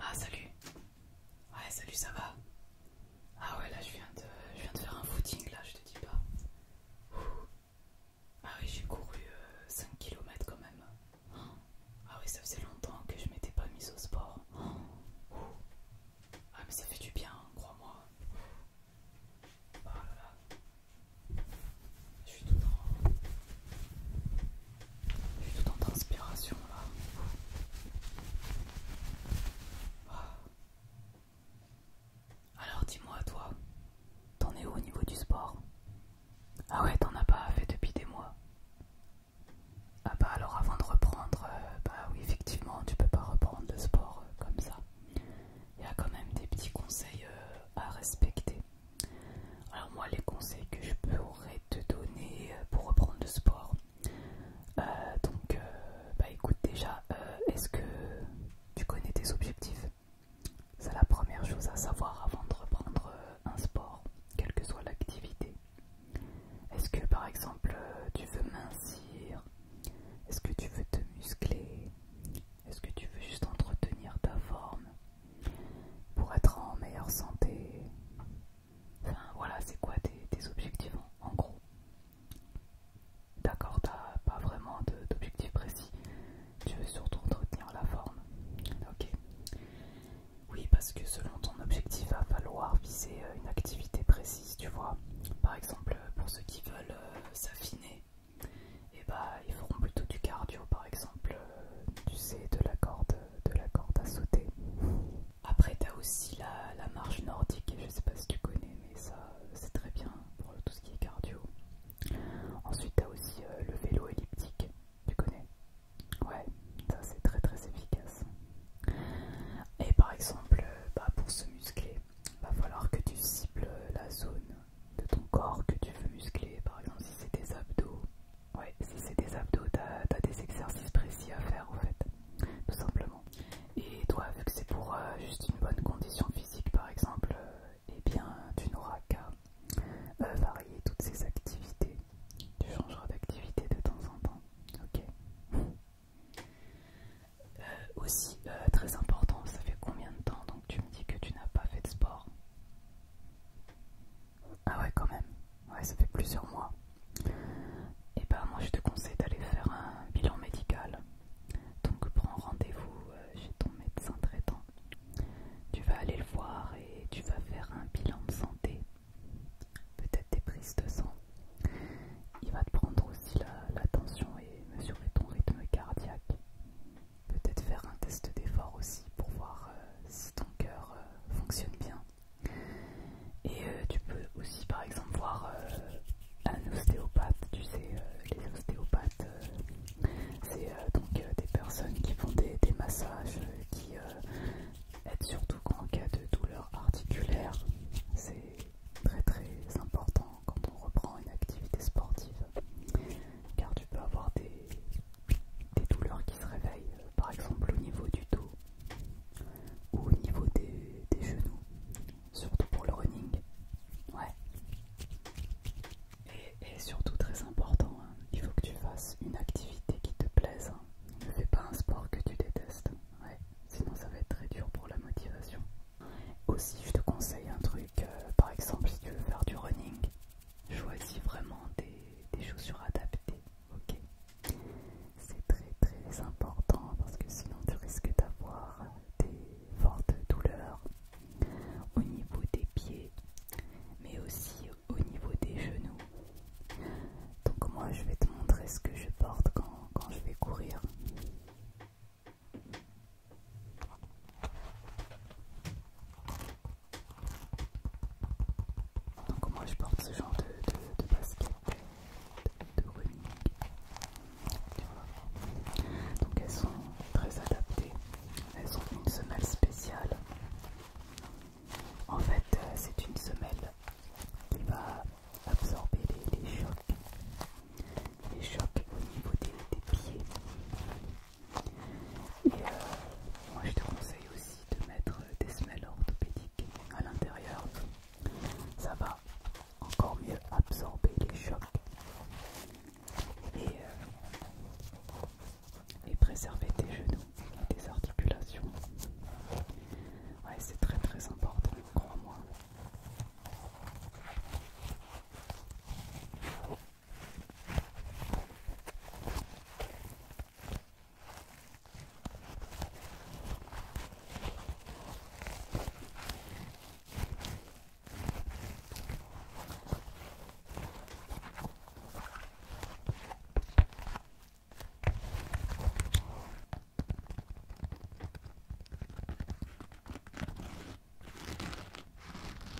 Ah salut Ouais salut ça va Ah ouais là je viens de je viens de faire un footing là je te dis pas Ah oui j'ai couru euh, cinq 5 quand même ah oui, ça faisait longtemps que je m'étais pas mise au sport. Ah mais ça fait du bien, hein, crois-moi. Oh je suis tout en... Je suis tout en transpiration là. Ah. Alors dis-moi toi, t'en es où au niveau du sport Ah ouais, t'en as pas fait depuis des mois ah bah alors avant de reprendre, euh, bah oui effectivement tu peux pas reprendre le sport euh, comme ça. Il y a quand même des petits conseils euh, à respecter. Alors moi les conseils que je pourrais te donner pour reprendre le sport. donc bah écoute déjà, est-ce que tu connais tes objectifs C'est la première chose à savoir avant de reprendre un sport, quelle que soit l'activité. Est-ce que par exemple euh, tu veux mincir Est-ce que tu veux te muscler Est-ce que tu veux juste entretenir ta forme pour être en meilleure santé Enfin voilà, c'est quoi tes, objectifs en gros D'accord, t'as pas vraiment d'objectif précis. Tu veux surtout entretenir la forme. Ok. Oui, parce que selon ton objectif, va falloir viser euh, une activité précise, tu vois. Par exemple, euh, pour ceux qui veulent euh, s'affiner, eh ben, ils feront plutôt du cardio, par exemple, tu sais, de la corde, de la corde à sauter. Après, t'as aussi la, marche nordique, je sais pas si tu connais, mais ça, c'est très bien pour tout ce qui est cardio. Ensuite, t'as aussi le vélo elliptique, tu connais Ouais, ça c'est très très efficace. Et par exemple, euh, bah, pour se muscler, va falloir que tu cibles la zone de ton corps que tu veux muscler. Par exemple, si c'est des abdos, ouais, si c'est des abdos, t'as as des exercices précis à faire en fait, tout simplement. Et toi, vu que c'est pour euh, juste une bonne condition physique par exemple, et euh, eh bien tu n'auras qu'à euh, varier toutes ces activités. Tu changeras d'activité de temps en temps. Ok. Euh, aussi, euh, très important, ça fait combien de temps Donc tu me dis que tu n'as pas fait de sport Ah ouais, quand même. Ouais, ça fait plusieurs mois. Et eh ben moi je te conseille d'aller faire un bilan médical. Donc prends rendez-vous chez ton médecin traitant tu vas aller le voir et tu vas faire un bilan de santé, peut-être des prises de sang. Il va te prendre aussi la, tension et mesurer ton rythme cardiaque. Peut-être faire un test d'effort aussi pour voir euh, si ton cœur euh, fonctionne bien. Et euh, tu peux aussi par exemple voir un ostéopathe, tu sais, les ostéopathes, c'est donc des personnes qui font des, massages, euh, être surtout en cas de douleur articulaire. C'est très très important quand on reprend une activité sportive, car tu peux avoir des, douleurs qui se réveillent, euh, par exemple au niveau du dos ou au niveau des, des genoux, surtout pour le running. Ouais. Et, surtout très important, hein, il faut que tu fasses une activité qui te plaise. Hein. Ne fais pas un sport que tu détestes, sinon ça va être très dur pour la motivation. Aussi je te conseille un truc, euh, par exemple si tu veux faire du running, choisis vraiment des, des chaussures adaptées, ok C'est très très important parce que sinon tu risques d'avoir des fortes douleurs au niveau des pieds, mais aussi au niveau des genoux. Donc moi je vais te montrer ce que je porte quand, je vais courir. Donc moi je porte ce genre de, de, de basket, de, running. Donc elles sont très adaptées elles ont une semelle spéciale. En fait, euh, c'est une semelle qui va absorber les, chocs. Les chocs au niveau des, pieds. Et euh, moi je te conseille aussi de mettre euh, des semelles orthopédiques à l'intérieur. Ça va encore mieux absorber les chocs. Euh, et, préserver tes genoux et tes articulations. Ouais, c'est très très important, crois-moi.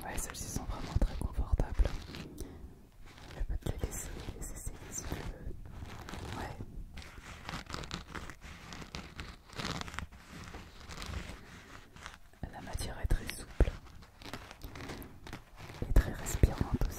Ouais, celles-ci sont vraiment très confortables. Je peux te les laisser, les essayer si tu Ouais. La matière est très souple et très respirante aussi.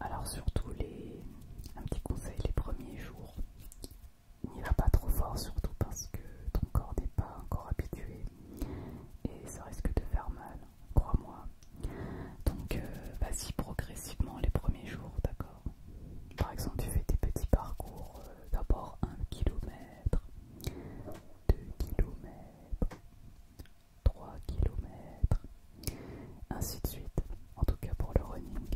Alors surtout les un petit conseil les premiers jours, n'y va pas trop fort surtout parce que ton corps n'est pas encore habitué et ça risque de faire mal, crois-moi. Donc euh, vas-y progressivement les premiers jours, d'accord. Par exemple tu fais tes petits parcours euh, d'abord un km, 2 km, 3 km, ainsi de suite, en tout cas pour le running.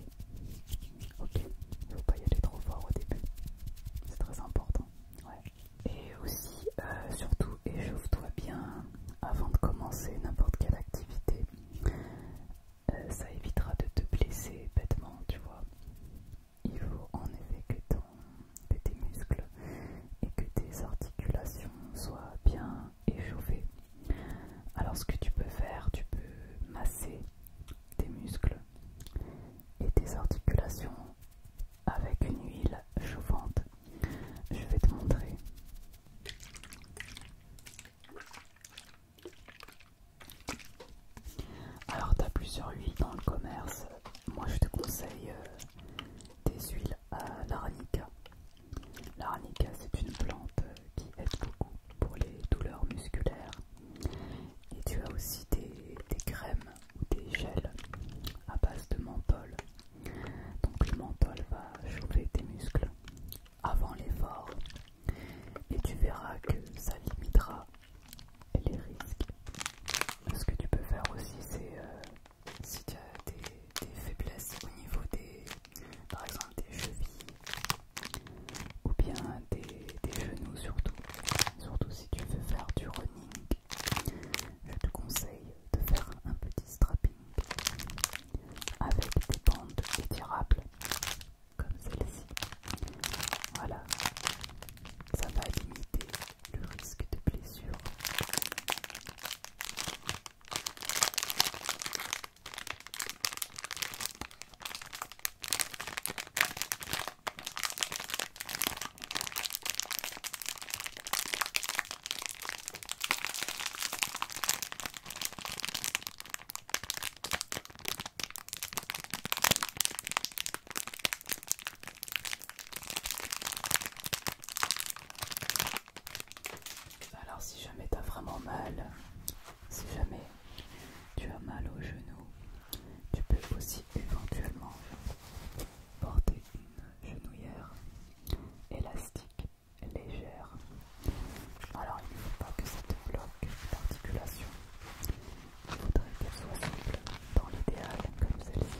Ok, il faut pas y aller trop fort au début, c'est très important. Et aussi, euh, surtout, échauffe-toi bien avant de commencer n'importe quelle activité. Euh, ça évitera de te blesser bêtement, tu vois. Il faut en effet que, tes muscles et que tes articulations soient bien échauffées. Alors ce que tu peux faire, tu peux masser tes muscles et tes articulations avec une huile chauffante. Je vais te montrer. Alors, tu as plusieurs huiles dans le commerce. Moi, je te conseille euh, des huiles à l'aranica. L'aranica, c'est une plante euh, qui aide beaucoup pour les douleurs musculaires. Et tu as aussi des, des crèmes ou des gels à base de menthol. Donc, le menthol va chauffer tes muscles avant l'effort et tu verras que ça limitera les risques. Ce que tu peux faire aussi, c'est euh, si tu as des, faiblesses au niveau des, par exemple des chevilles ou bien des, des genoux surtout, surtout si tu veux faire du running, je te conseille de faire un petit strapping avec des bandes étirables comme celle-ci. Voilà, ça va limiter le risque de blessure. Alors si jamais tu as vraiment mal, si jamais tu as mal au genou, tu peux aussi éventuellement porter une genouillère élastique légère alors il ne faut pas que cette bloc bloque soit simple, dans l'idéal comme celle-ci.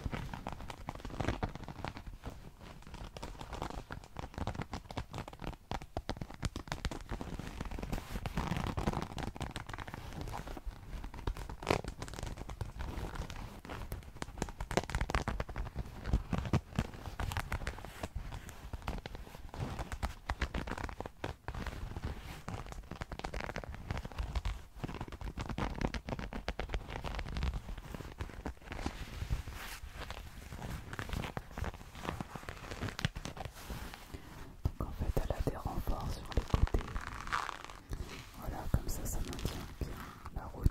Donc en fait elle a des renforts sur les côtés. Voilà, comme ça ça maintient bien la rotule.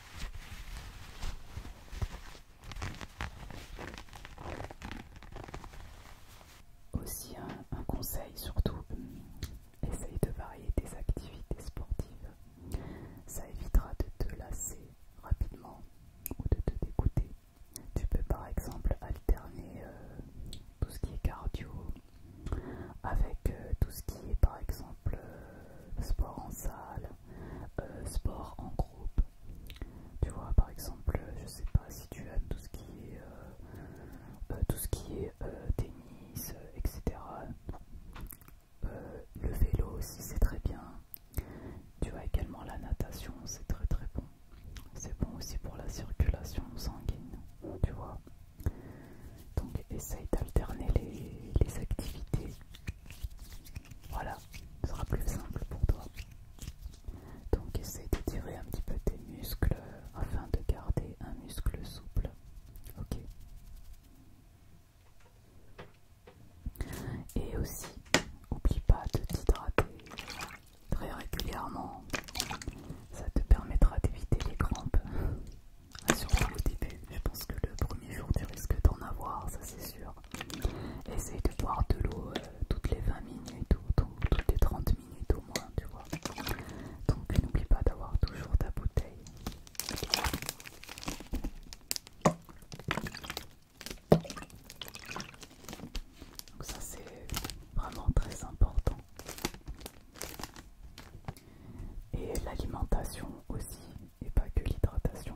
Aussi un, conseil surtout, hum, essaye de varier tes activités sportives. Ça évitera de te lasser rapidement ou de te dégoûter. Tu peux par exemple alterner euh, tout ce qui est cardio avec euh, tout ce qui est par exemple euh, sport en salle, euh, sport en groupe. Tu vois, par exemple, euh, je sais pas si tu aimes tout ce qui est, euh, tout ce qui est tennis, etc. le vélo aussi, c'est très bien. Tu as également la natation, c'est très très bon. C'est bon aussi pour la circulation sanguine, tu vois. Donc essaye d'alterner les activités voilà, ce sera plus simple pour toi. Donc essaie tirer un petit peu tes muscles afin de garder un muscle souple. Ok. Et aussi, n'oublie pas de t'hydrater très régulièrement. Ça te permettra d'éviter les crampes assure toi au je pense que le premier jour tu risques d'en avoir, ça c'est sûr. Essaye de boire de l'eau euh, toutes les 20 minutes ou toutes les 30 minutes au moins, tu vois. Donc n'oublie pas d'avoir toujours ta bouteille. Donc ça c'est vraiment très important. Et l'alimentation aussi, et pas que l'hydratation.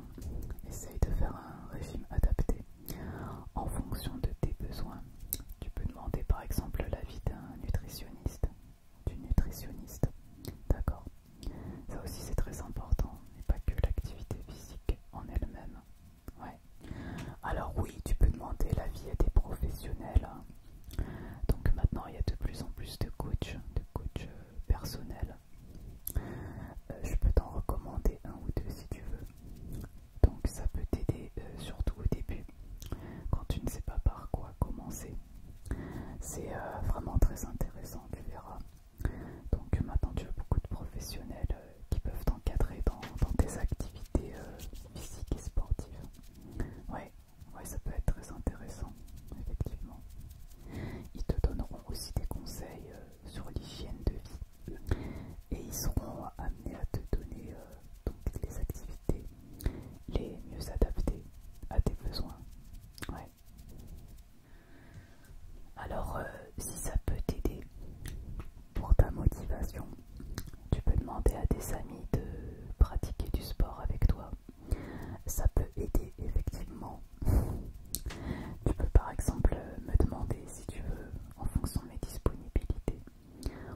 Essaye de faire un régime adapté en fonction de tes besoins. Tu peux demander par exemple l'avis d'un nutritionniste, Du nutritionniste, d'accord Ça aussi c'est très important, et pas que l'activité physique en elle-même. Ouais. Alors oui, tu peux demander l'avis à des professionnels. Hein. Donc maintenant il y a de plus en plus de coachs, de coachs personnel. Euh, je peux t'en recommander un ou deux si tu veux. Donc ça peut t'aider euh, surtout au début, quand tu ne sais pas par quoi commencer. C'est euh, vraiment très intéressant, tu verras. Donc maintenant tu as beaucoup de professionnels qui peuvent t'encadrer dans, tes activités physiques et sportives. Ouais, ça peut être très intéressant, effectivement. Ils te donneront aussi des conseils euh, sur l'hygiène de vie et ils seront amenés à te donner euh, les activités les mieux adaptées à tes besoins. Alors, euh, si ça peut t'aider pour ta motivation, tu peux demander à tes amis de pratiquer du sport avec toi ça peut aider effectivement. Tu peux par exemple me demander si tu veux, en fonction de mes disponibilités.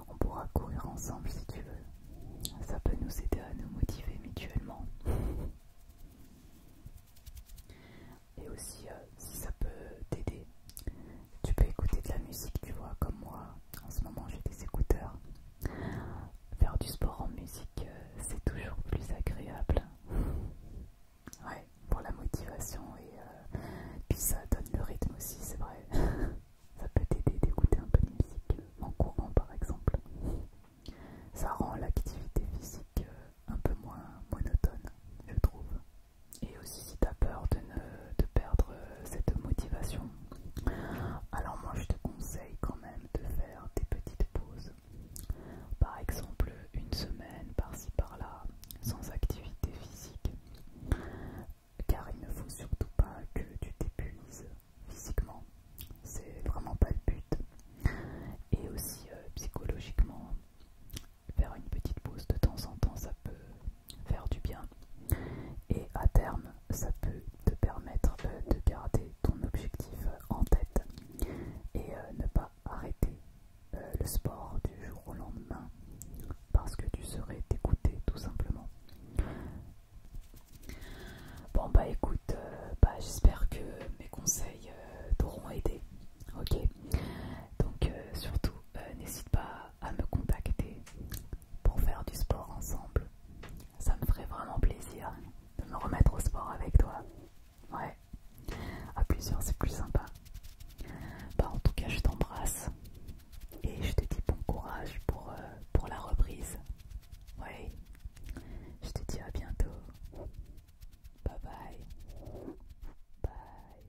On pourra courir ensemble si tu veux. Ça peut nous aider à nous motiver mutuellement. Et aussi, euh, si ça peut t'aider, tu peux écouter de la musique, tu vois, comme moi. En ce moment, j'ai des écouteurs. Faire du sport en musique, euh, c'est toujours plus agréable. Ouais, pour la motivation et euh, puis ça donne le rythme aussi, c'est vrai. ça peut t'aider d'écouter un peu de musique euh, en courant par exemple. Ça rend l'activité physique un peu moins monotone, je trouve. Et aussi si t'as peur de, ne, de perdre cette motivation, alors moi je te conseille quand même de faire des petites pauses. Par exemple une semaine par-ci par-là sans activité physique. Car il ne faut surtout pas que tu t'épuises physiquement. C'est vraiment pas le but. Et aussi euh, psychologiquement, faire une petite pause de temps en temps ça peut faire du bien. Et à terme, ça peut te permettre euh, de garder ton objectif euh, en tête et euh, ne pas arrêter le sport du jour au lendemain parce que tu serais dégoûté tout simplement. Bon bah écoute, bah, j'espère que mes conseils t'auront aidé. Ok Donc surtout, n'hésite pas à me contacter pour faire du sport ensemble. Ça me ferait vraiment plaisir de me remettre au sport avec toi. Ouais, à plusieurs c'est plus sympa. Bah en tout cas je t'embrasse et je te dis bon courage pour, euh, la reprise. Ouais, je te dis à bientôt. Bye bye. Bye.